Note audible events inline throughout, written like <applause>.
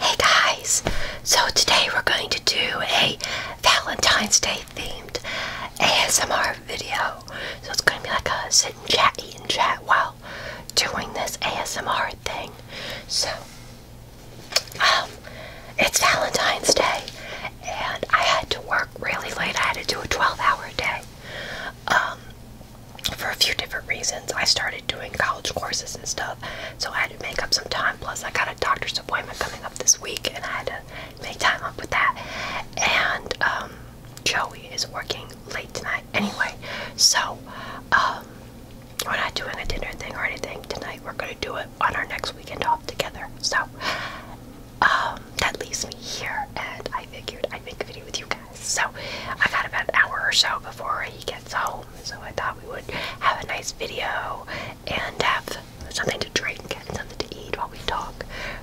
Hey guys, so today we're going to do a Valentine's Day themed ASMR video. So it's going to be like a sit chat, eat and chat while doing this ASMR thing. So, um, it's Valentine's Day and I had to work really late. I had to do a 12 hour day. Um, for a few different reasons. I started doing college courses and stuff, so I had to make up some time. Plus, I got a doctor's appointment coming up this week, and I had to make time up with that. And um, Joey is working late tonight anyway, so um, we're not doing a dinner thing or anything tonight. We're gonna do it on our next weekend off together. So um, that leaves me here, and I figured I'd make a video with you guys. So I got about an hour or so before he gets home, so I thought we would have a nice video and have something to drink and something to eat while we talk.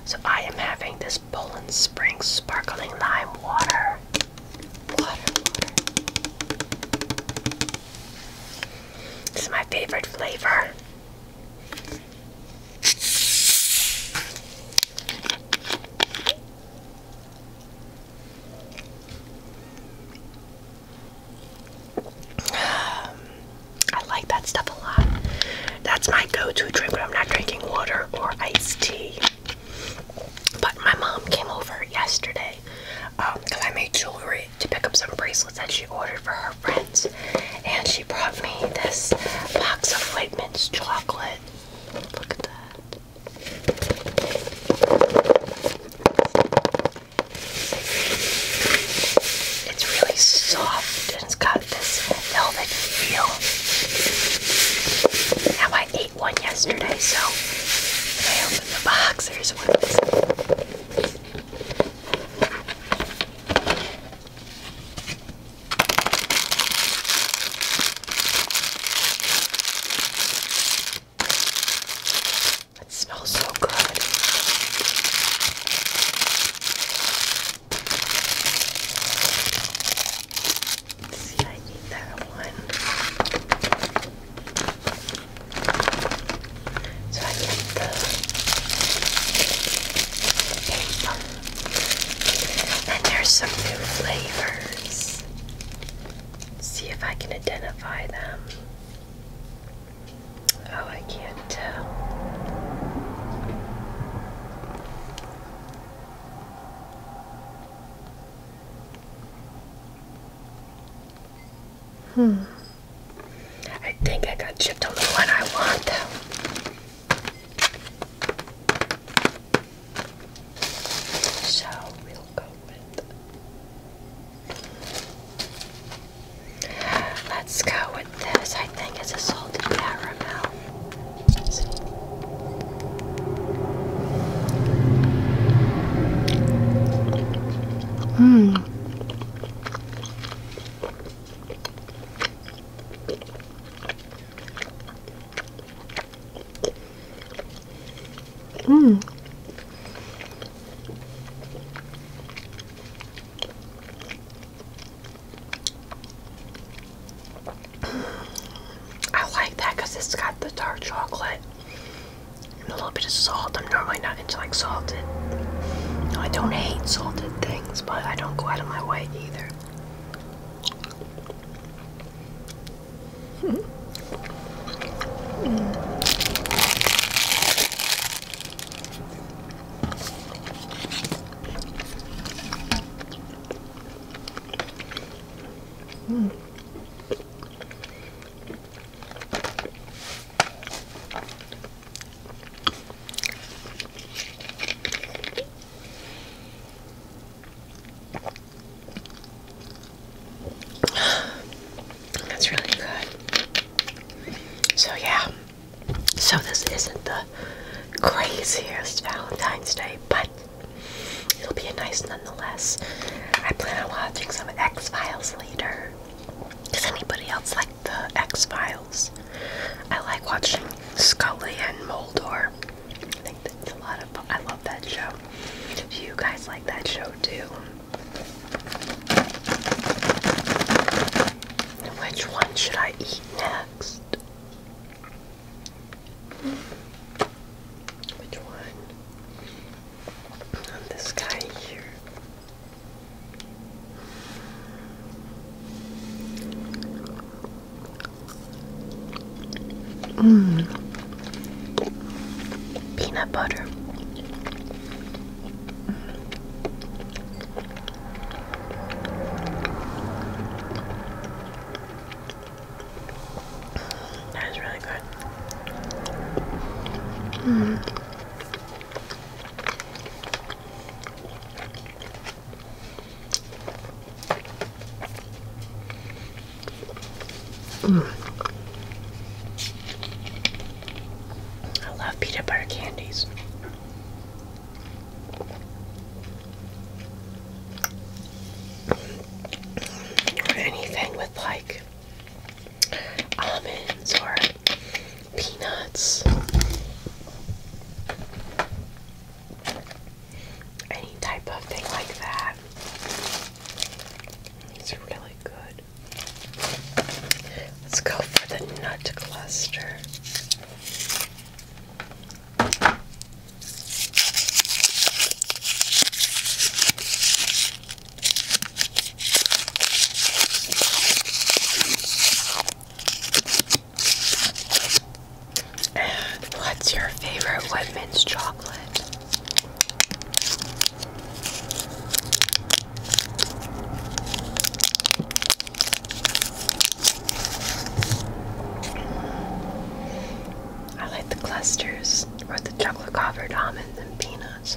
So I am having this Poland Spring sparkling lime water. Water, water. This is my favorite flavor. Um, I like that stuff a lot. That's my go-to drink when I'm not drinking water or iced tea. But my mom came over yesterday because um, I made jewelry to pick up some bracelets that she ordered for her friends, and she brought me this box of white mint chocolate. Look at that. It's really soft and it's got this velvet feel. Now I ate one yesterday, so I opened the box, there's one. It smells so good. see, I need that one. So I get the paper and there's some new flavors. See if I can identify them. Oh, I can't tell. Hmm. I think I got chipped on the one I want, though. So we'll go with. Let's go with this. I think it's a salted caramel. Hmm. Mm. I like that because it's got the dark chocolate and a little bit of salt. I'm normally not into like salted. I don't hate salted things but I don't go out of my way either. Mm. Mm. <sighs> That's really good. So, yeah. So, this isn't the craziest Valentine's Day, but it'll be nice nonetheless. I plan on watching some X Files later. Does anybody else like the X Files? I like watching Scully and Moldor. I love that show. Do you guys like that show too? Which one should I eat next? Which one? this guy here. Mm. Peanut butter. Mm. That is really good. Mm. I love peanut butter candies. Or anything with like almonds or peanuts, any type of thing like that. It's really good. Let's go for the nut cluster what's your favorite women's chocolate? I like the clusters or the chocolate covered almonds and peanuts.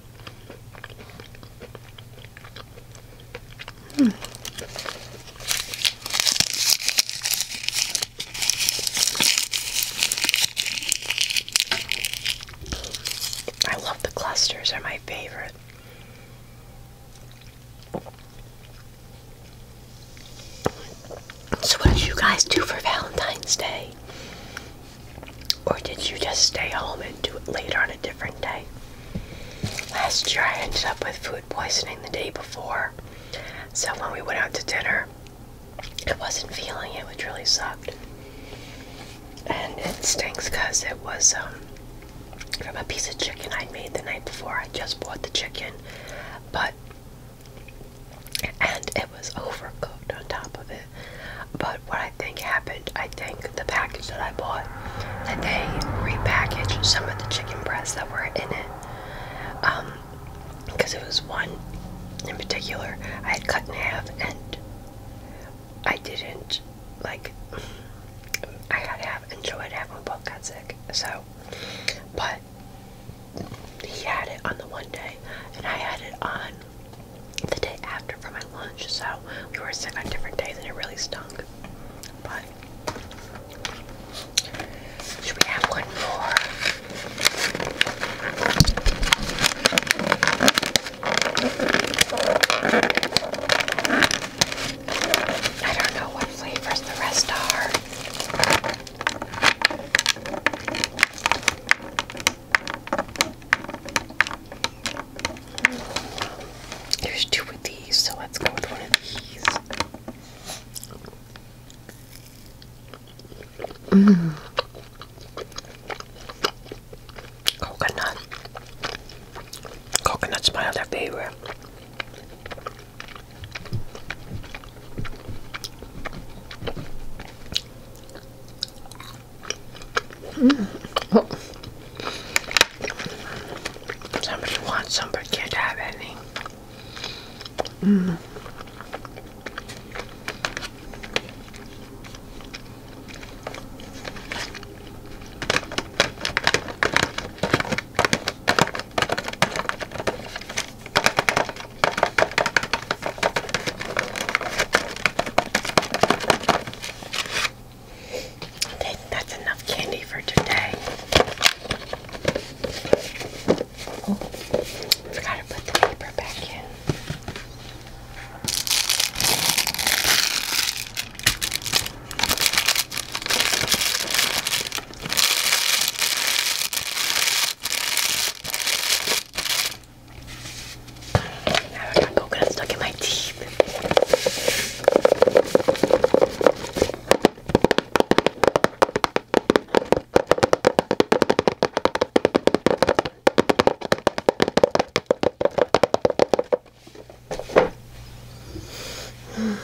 Hmm. I love the clusters, they're my favorite. So, what did you guys do for Valentine's Day? Or did you just stay home and do it later on a different day? Last year I ended up with food poisoning the day before. So when we went out to dinner, I wasn't feeling it, which really sucked. And it stinks because it was um, from a piece of chicken I'd made the night before. I just bought the chicken, but and it was overcooked on top of it. But what I I think happened. I think the package that I bought, that they repackaged some of the chicken breasts that were in it. because um, it was one in particular I had cut in half and I didn't like I had half enjoyed half when both got sick. So but he had it on the one day and I had it on the day after for my lunch, so we were sick on different days and it really stunk. But should we have one more? I don't know what flavors the rest are. There's two of these, so let's go with one of these. Mm. Coconut. Coconut's my other favorite. Mm. Somebody wants some can't have any. Mm. Okay, that's enough candy for today. Oh, forgot to put the paper back in. Now I got coconut stuck in my teeth.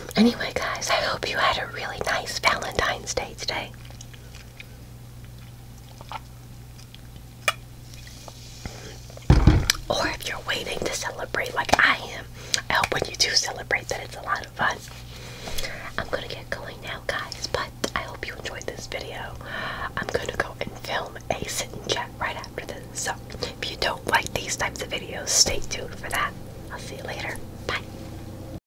<sighs> Anyway, guys, I hope you had a really nice Valentine's Day today. Or if you're waiting to celebrate like I am, I hope when you do celebrate that it's a lot of fun. I'm gonna get going now, guys, but I hope you enjoyed this video. I'm gonna go and film a sit and chat right after this. So if you don't like these types of videos, stay tuned for that. I'll see you later. Bye.